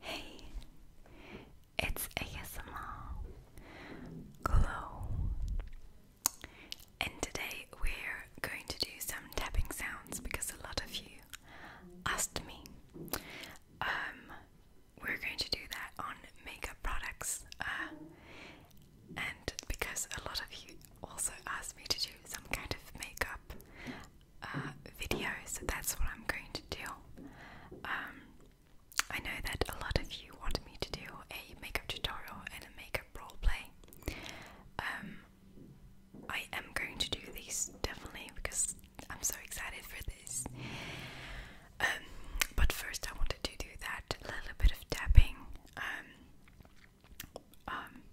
Hey, it's ASMR Glow, and today we're going to do some tapping sounds because a lot of you asked me. Um, we're going to do that on makeup products, uh, and because a lot of you also asked me to do some kind of makeup uh, videos. That's what I'm going to do. Um, I know that a lot of you want me to do a makeup tutorial and a makeup role play. Um, I am going to do these definitely because I'm so excited for this. Um, but first, I wanted to do that little bit of tapping.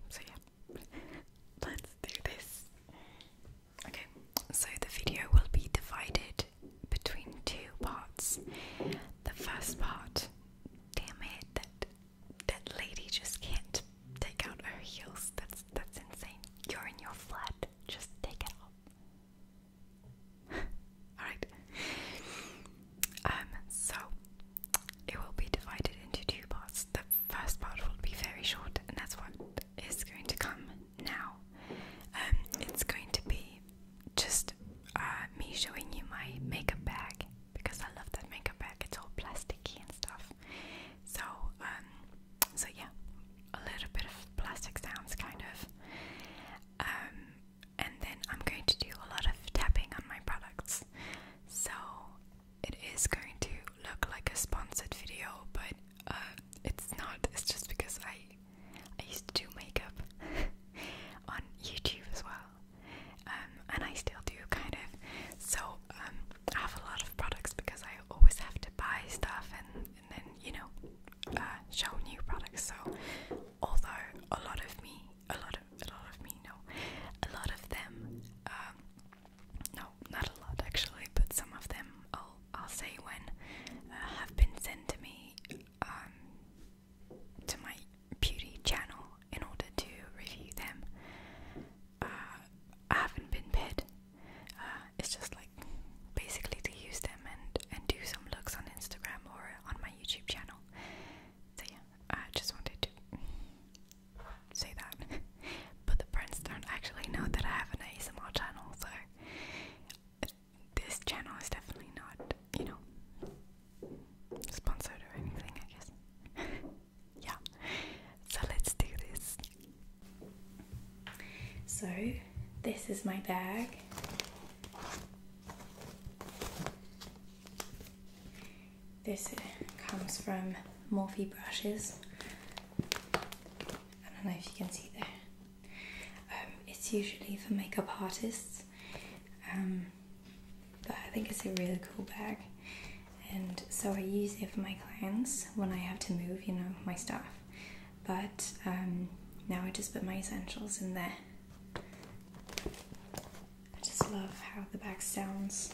so yeah, let's do this. Okay, so the video will be divided between two parts. The first part, damn it, that that lady just can't take out her heels. That's that's insane. You're in your flat. Just take it off. Alright. Um, so it will be divided into two parts first part will be very short, and that's what is going to come now. Um, it's going to be just uh, me showing you my makeup bag because I love that makeup bag. It's all plasticky and stuff. So, um, so yeah, a little bit of plastic sounds, kind of. Um, and then I'm going to do a lot of tapping on my products. So it is going to look like a sponsored video, but uh, it's not. It's just because I I used to do makeup on YouTube as well, um, and I still do kind of. So um, I have a lot of products because I always have to buy stuff and, then you know uh, show new products. So although a lot of me, a lot of a lot of me, know a lot of them. Um, no, not a lot actually, but some of them I'll, I'll say when uh, have been sent to me um, to my beauty channel in order to review them. Uh, I haven't been paid. Uh, it's just like basically to use them and and do some looks on Instagram or on my YouTube channel. So yeah, I just wanted to say that. but the friends don't actually know that I have an ASMR channel, so this channel is definitely not, you know, sponsored or anything, I guess. yeah. So let's do this. So, this is my bag. This comes from Morphe brushes. I don't know if you can see there. Um, it's usually for makeup artists, um, but I think it's a really cool bag, and so I use it for my clients when I have to move, you know, my stuff. But um, now I just put my essentials in there. I just love how the bag sounds.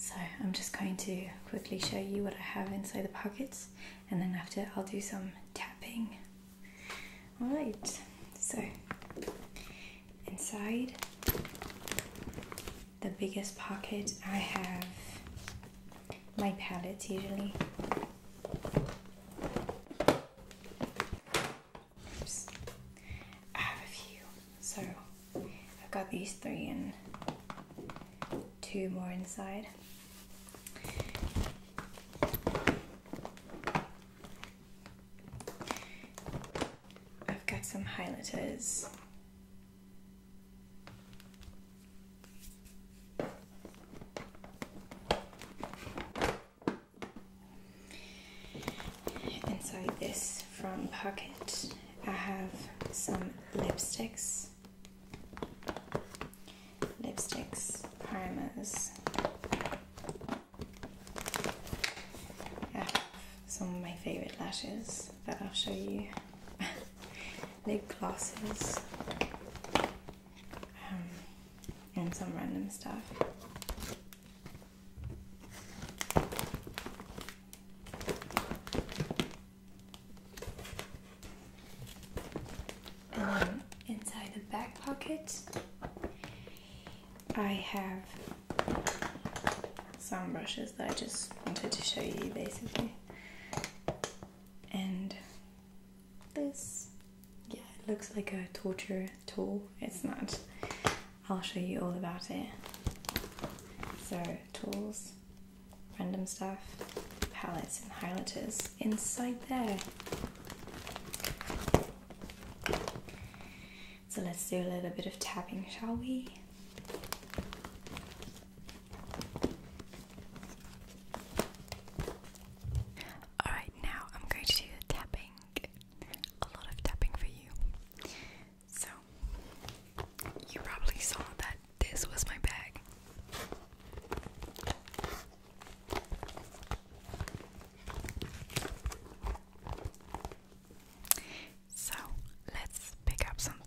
So I'm just going to quickly show you what I have inside the pockets and then after I'll do some tapping. Alright, so inside the biggest pocket I have my palettes usually. I have a few, so I've got these three and two more inside. I've got some highlighters Inside this front pocket, I have some lipsticks, lipsticks, primers some of my favorite lashes that I'll show you. Lip glosses um, and some random stuff. inside the back pocket, I have some brushes that I just wanted to show you basically. And this, yeah, it looks like a torture tool. It's not. I'll show you all about it. So, tools, random stuff, palettes and highlighters inside there. So let's do a little bit of tapping, shall we? Alright, now I'm going to do the tapping. A lot of tapping for you. So, you probably saw that this was my bag. So let's pick up something.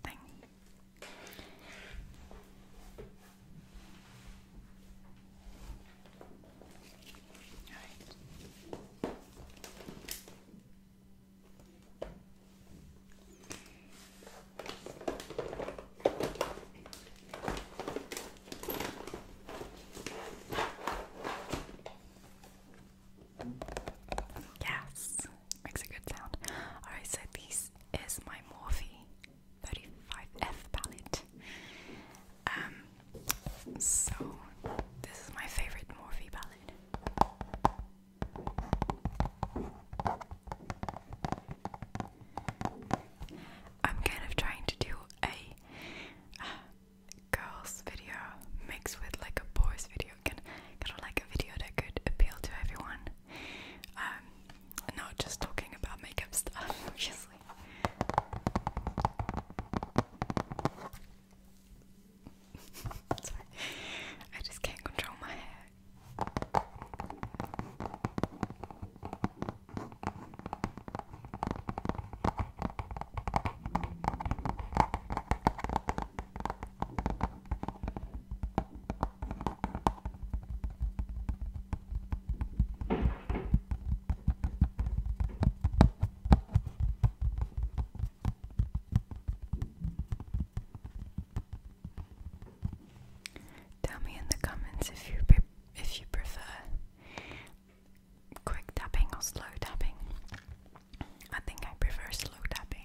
Yes, makes a good sound. Alright, so this is my Morphe 35F palette. Um, so this is my favorite Morphe palette. I'm kind of trying to do a uh, girls video mixed with like a boys video video kind of like a video that could appeal to everyone. Um, not just talking about makeup stuff, obviously. Sorry, I just can't control my hair. Tell me in the comments if you if you prefer quick tapping or slow tapping. I think I prefer slow tapping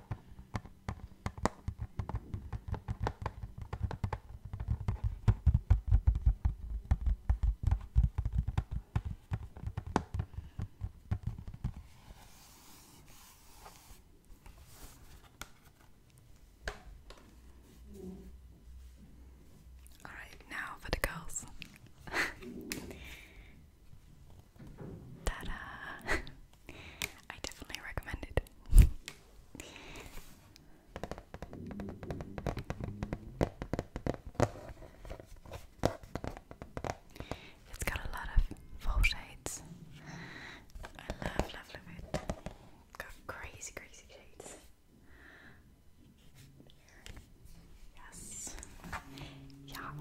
All right, now for the girls. ta I definitely recommend it. it's got a lot of full shades. I love, love, love it. Got crazy, crazy shades. Yes. Yes.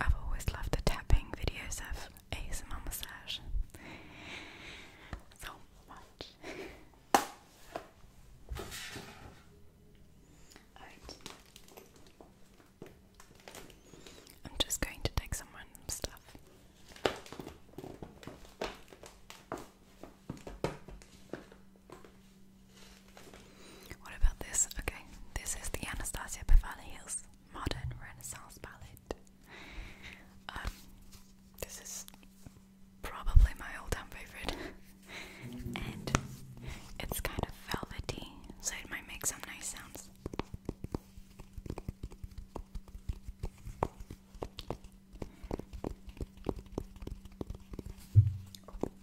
I've always loved the tapping videos of ASMR massage. So much. I'm just going to take some stuff. What about this? Okay, this is the Anastasia Beverly Modern Renaissance Palette. Um, this is probably my all-time favorite, and it's kind of velvety, so it might make some nice sounds.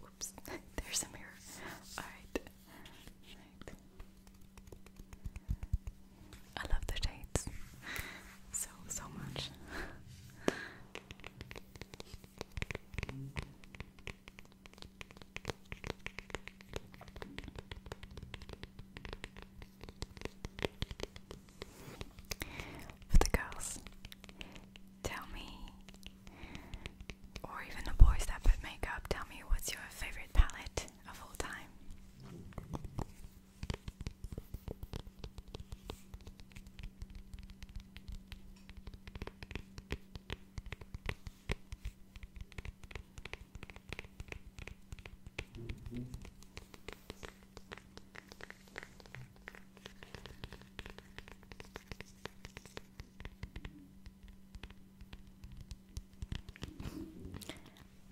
Whoops, there's a mirror. All right. I love the shades so, so much. the girls, tell me, or even the boys that put makeup, tell me what's your favorite palette of all time.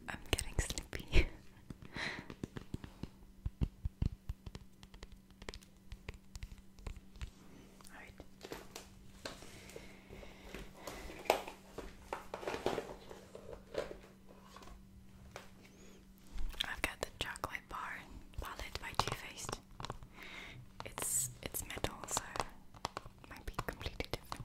I'm getting sleepy. I've got the chocolate bar palette by Too Faced. It's it's metal, so might be completely different.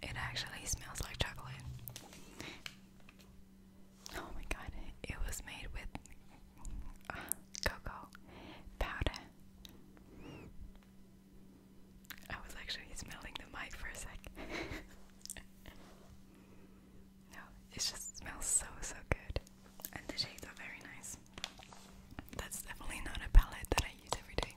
It actually smells like chocolate. Oh my god, it, was made with uh, cocoa powder. I was actually smelling the mic for a sec. no, it just smells so, so good. And the shades are very nice. That's definitely not a palette that I use every day.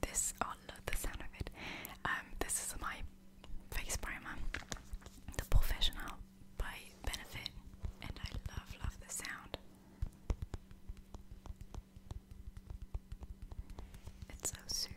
this oh love the sound of it. Um this is my face primer. The professional by benefit and I love love the sound. It's so soothing.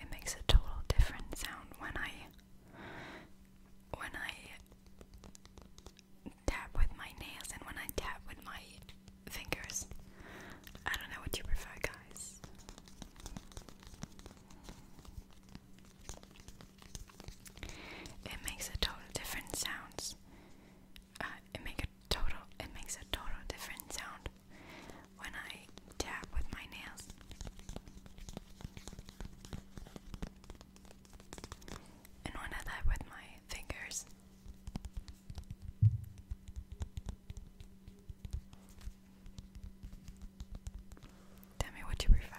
It makes a total different sound when I when I tap with my nails and when I tap with my fingers. I don't know what you prefer, guys. It makes a total different sounds. Uh, it makes total it makes a total different sound when I tap with my nails. And when I tap with my fingers, tell me what you prefer.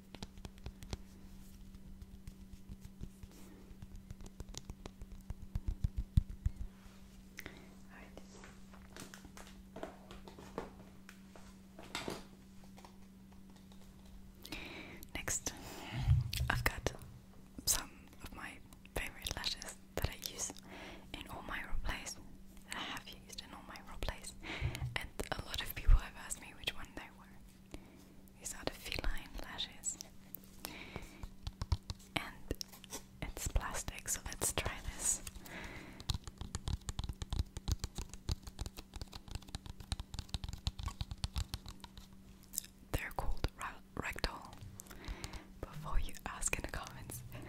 All right. Next, I've got some of my favorite lashes that I use in all my raw I have used in all my raw and a lot of people have asked me which one they were. These are the feline lashes. And it's plastic, so let's try this. They're called rectal. Before you ask in the comments.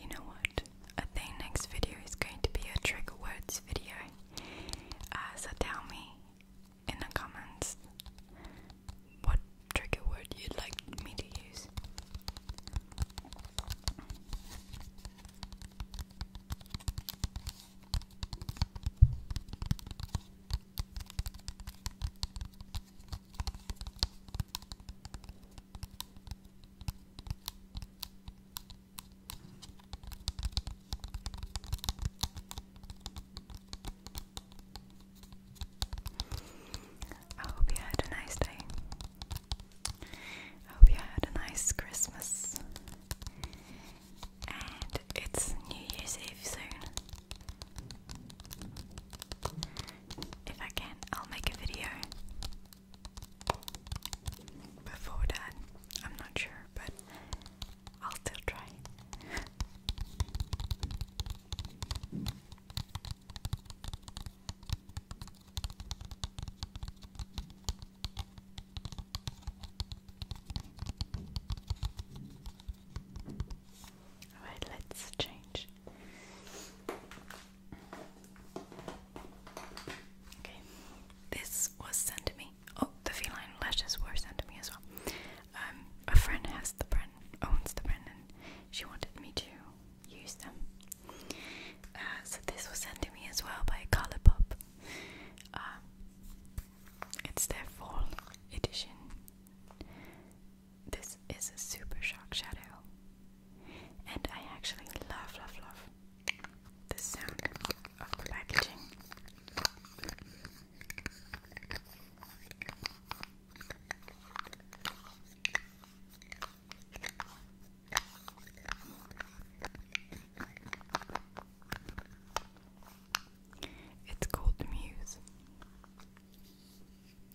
You know what? I think next video is going to be a trigger words video. Uh, so tell me in the comments what trigger word you'd like me to use. I hope you had a nice day. I hope you had a nice Christmas. And it's New Year's Eve soon. If I can, I'll make a video before that. I'm not sure, but I'll still try. Alright, let's change. Okay, this was sent to me. Oh, the feline lashes were sent to me as well. Um, a friend has the brand, owns the brand, and she wanted me to use them. Uh, so this was sent to me as well by Colourpop. Um, it's their fall edition. This is a super shock shadow and I actually love, love, love the sound of the packaging. It's called the Muse.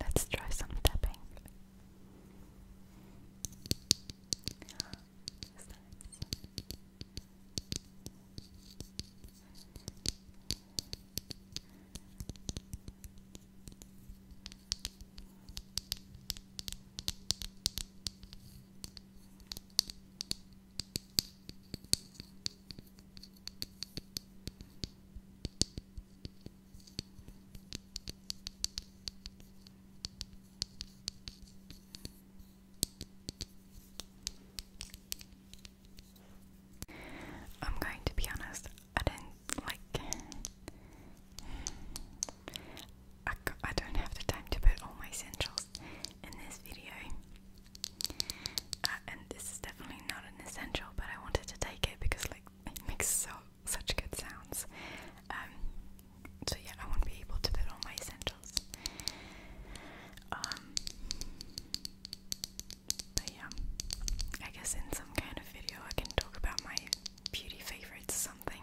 Let's try some tapping. I'm going to be honest, I didn't like. I, I don't have the time to put all my essentials in this video. Uh, and this is definitely not an essential, but I wanted to take it because like it makes so such good sounds. Um, so yeah, I won't be able to put all my essentials. Um, but yeah, I guess in some kind of video I can talk about my beauty favorites or something.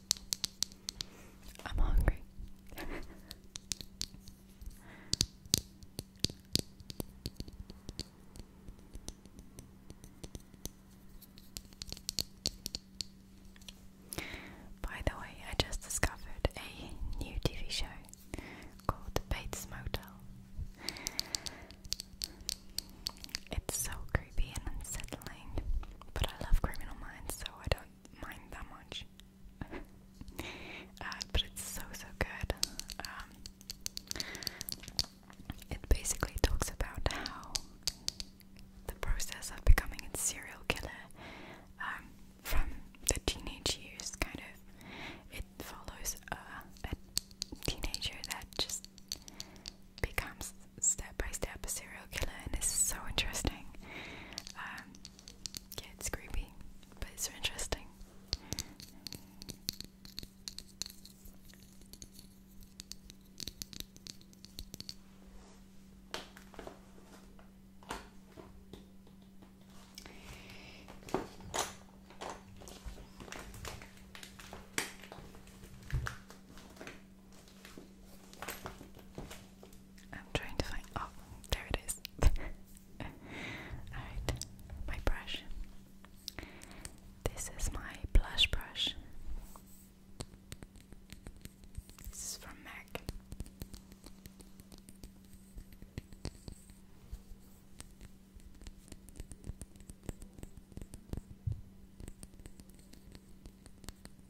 I'm hungry. By the way, I just discovered a new TV show called Bates Motel. It's so creepy and unsettling, but I love Criminal Minds, so I don't mind that much. Uh, but it's so so good. Um, it basically talks about how the process of becoming a serial killer um, from the teenage years kind of it follows a, a teenager that just becomes step by step a serial killer and this is so interesting um, yeah, it's creepy, but it's so interesting. I'm trying to find. Oh, there it is. Alright, my brush. This is my blush brush. This is from MAC.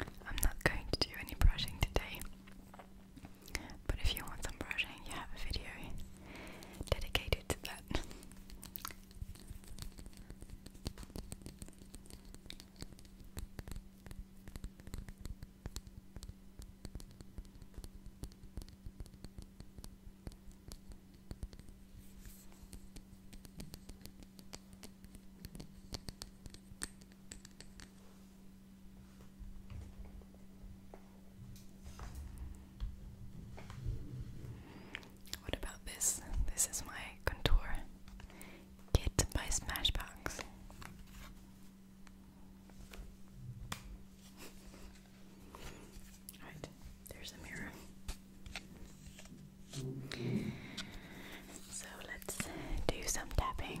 I'm not going to do any brushing today, but if you want some brushing, you have a video dedicated to that. What about this? This is my contour kit by Smashbox. Alright, there's a mirror. So let's do some tapping.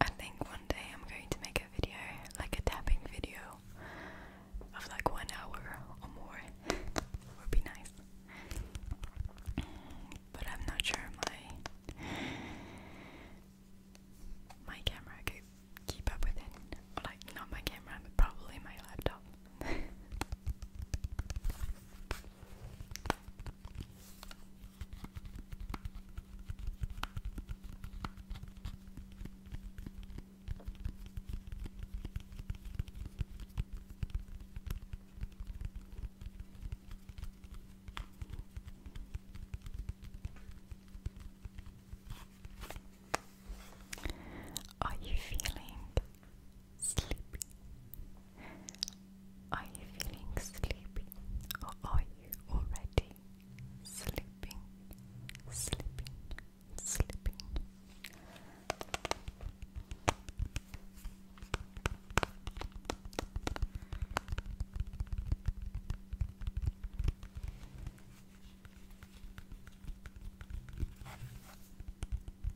I think one day I'm going to make a video, like a tapping video, of like one hour or more. Would be nice. But I'm not sure if my my camera could keep up with it. Like not my camera, but probably my laptop. Are you feeling Sleepy. Are you feeling sleepy or are you already sleeping? Sleeping, sleeping.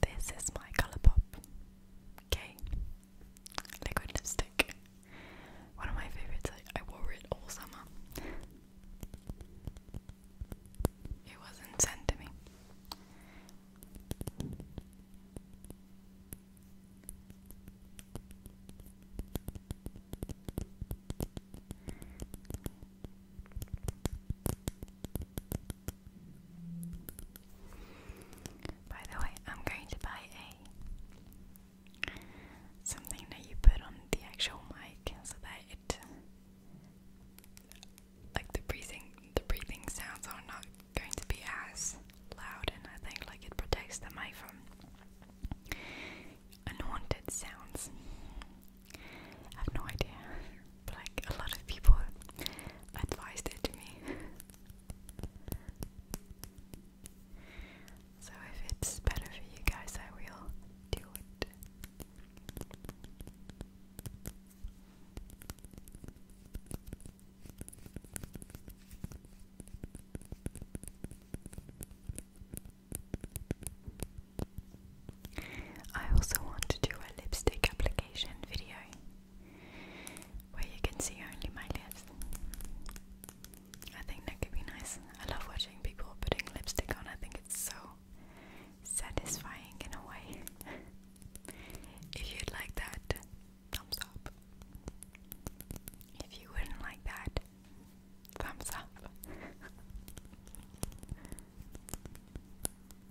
this is my Colourpop okay liquid lipstick. One of my favourites. I, wore it all summer. It wasn't sent to me. By the way, I'm going to buy a something that you put on the actual mic so that it like the breathing the breathing sounds are not going to be as loud and I think like it protects the mic from unwanted sounds. I have no idea, but like a lot of people advised it to me. so if it's better for you guys, I will do it. I also want to do a lipstick application video where you can see only my lips. I think that could be nice. I love watching people putting lipstick on, I think it's so satisfying in a way. if you'd like that, thumbs up. If you wouldn't like that, thumbs up.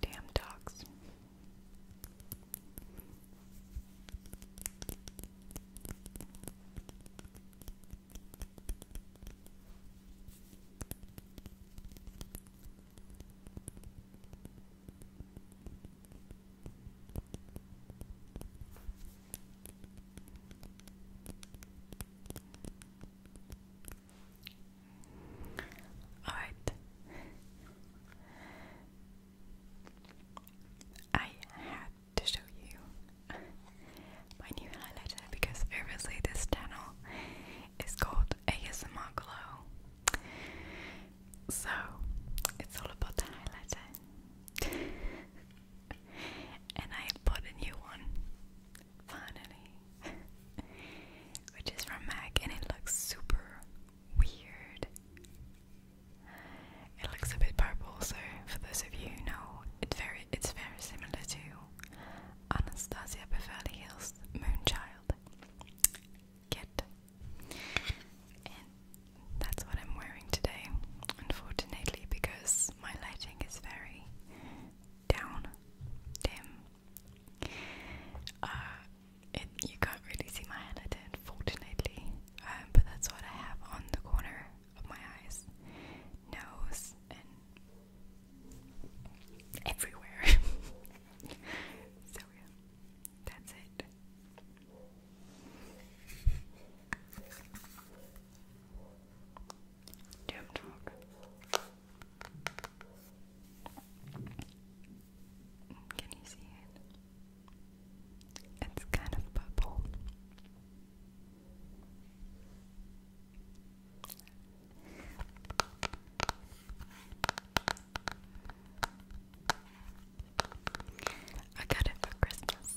Damn dogs. Alright. I had to show you my new highlighter because obviously this channel is called ASMR Glow. So it's all about the highlighter. and I bought a new one finally, which is from MAC, and it looks super weird. It looks a bit purple, so for those of you who know, it's very, it's very similar to Anastasia Beverly Hills Moonchild kit, and that's what I'm wearing today, unfortunately, because my lighting is very down dim. Uh, you can't really see my eyelid, unfortunately, um, but that's what I have on the corner of my eyes, nose, and everywhere. so yeah, that's it. Doomed mode. Can you see it? It's kind of purple. I got it for Christmas.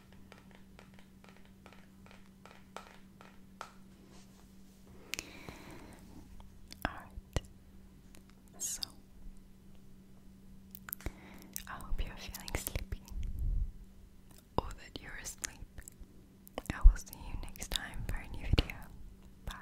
Alright, so I hope you're feeling sleepy or that you're asleep. I will see you next time for a new video. Bye.